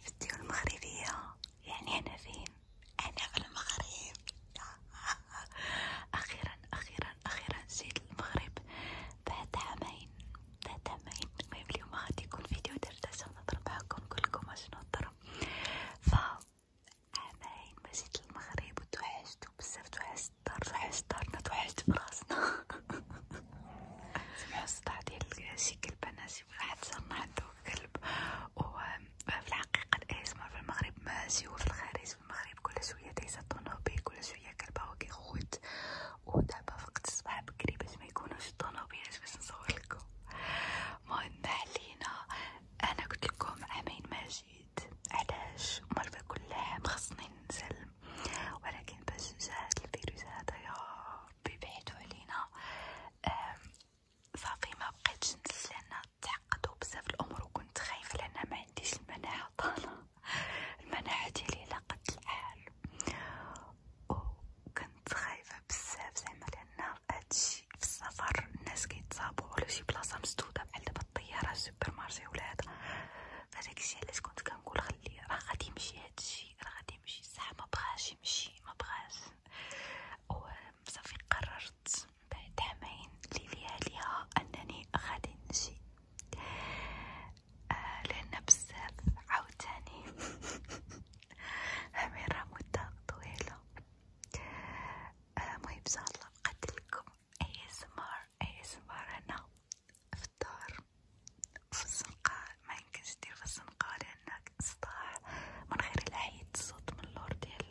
في الديور المغربية يعني أنا فين؟ أنا في المغرب أخيرا أخيرا أخيرا جيت المغرب بعد عامين بعد عامين المهم اليوم غادي يكون فيديو دردشة ونضرب معاكم كلكم اش نضرب ف عامين ما جيت المغرب وتوحشت بزاف توحشت الدار توحشت دارنا توحشت براسنا سمعو الصداع ديال الشكل البناتي واحد صار ما عنده كلب وفي الحقيقة الاسمر في المغرب ماشي وفي الخارج في المغرب كل شوية تيسطونو بيه كل شوية كلبه كيخوت ودابا وقت الصباح بكري باش ما يكونوش الطونوبيلات باش نصور لكم المهم علينا انا قلت لكم عامين ما جيت علاش مرة كل عام خصني ننزل العالم ولكن بس جاء الفيروس هذا يا بعيدو علينا صافي ما بقيتش لأن تعقدوا بزاف الأمور وكنت خايفة لأن ما عنديش المناعة طالعة ديالي على قد الحال وكنت خايفة بزاف زعما لأن هادشي في السفر الناس كيتصابو ولا شي بلاصة مسدودة بحال دابا الطيارة السوبر مارشي ولا علاش كنت كنقول قال لي راه غادي يمشي هادشي راه غادي يمشي صح ما بغاش يمشي ما بغاش وصافي قررت بعد عامين لياليها انني غادي نمشي آه لان بزاف عاوتاني عامين راه مده طويله آه، المهم آه ان شاء الله نقدم لكم ASMR ASMR هنا في الدار وفي السنقار ميمكنش دير في السنقار لأنك صداع من غير إلا حيدت الصوت من اللور ديال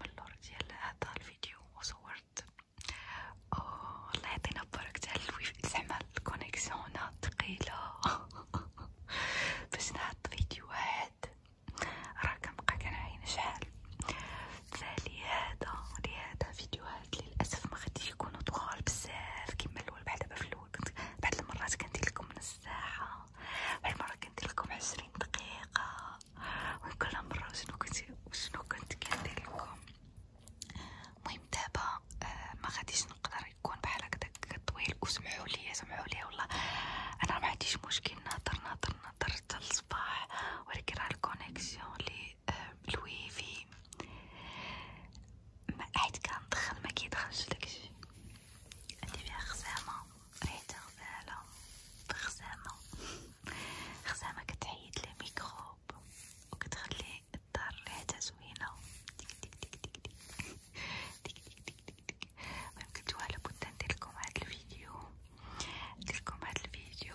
من اللور ديال هدا الفيديو وصورت أو الله يعطينا بركة تاع زعما الكونيكسيون هنا ثقيلة باش نحط فيديو واحد راه كنبقى كنعاين شحال فلهذا لهذا فيديوهات للاسف ما غاديش يكونوا طوال بزاف كما الاول بحال دابا في الاول كنت بعض المرات كندير لكم نص ساعه واحد المره كندير لكم عشرين دقيقه وكل مره شنو كنت شنو كنت كندير لكم المهم دابا آه، ما غاديش نقدر يكون بحال هكداك طويل وسمحوا لي سمحوا لي والله انا ما عنديش مشكل نهضر نهضر نهضر حتى الصباح ولكن راه الكونيكسيون لي الويفي آه، حيت كندخل ما كيدخلش داكشي عندي فيها خزامه ريحتها غزاله خزامه خزامه كتحيد لي ميكروب وكتخلي الدار ريحتها زوينه ديك ديك ديك ديك ديك ديك ديك ديك ديك ديك المهم كنتو على بد ندير لكم هاد الفيديو ندير لكم هاد الفيديو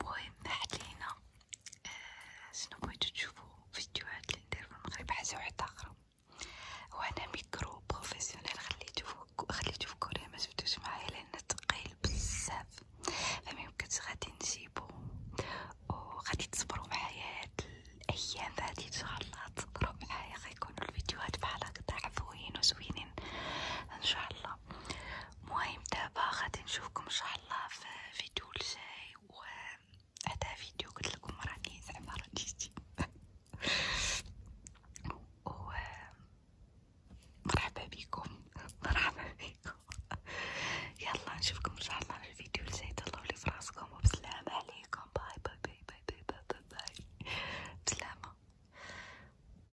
المهم حلينا آه شنو بغيتو تشوفو فيديوهات اللي في المغرب حاجة وحدة أخرى وأنا ميكرو بروفيسيونيل خليتو في كوريا ما معايا لأن تقيل بزاف فميمكنش غادي نجيبو وغادي تصبرو معايا هاد الأيام هادي إن الله تصبرو معايا غيكونو الفيديوهات بحال هكدا عفوين وزوينين إن شاء الله الحلقة مهم دابا غادي نشوفكم ان شاء الله في فيديو الجاي و هذا فيديو قلت لكم راني زعما رديتي و مرحبا بكم مرحبا بكم يلا نشوفكم ان شاء الله في الفيديو الجاي تهلاو لي فراسكم وبسلامة عليكم باي باي باي باي باي باي باي, باي. بسلامة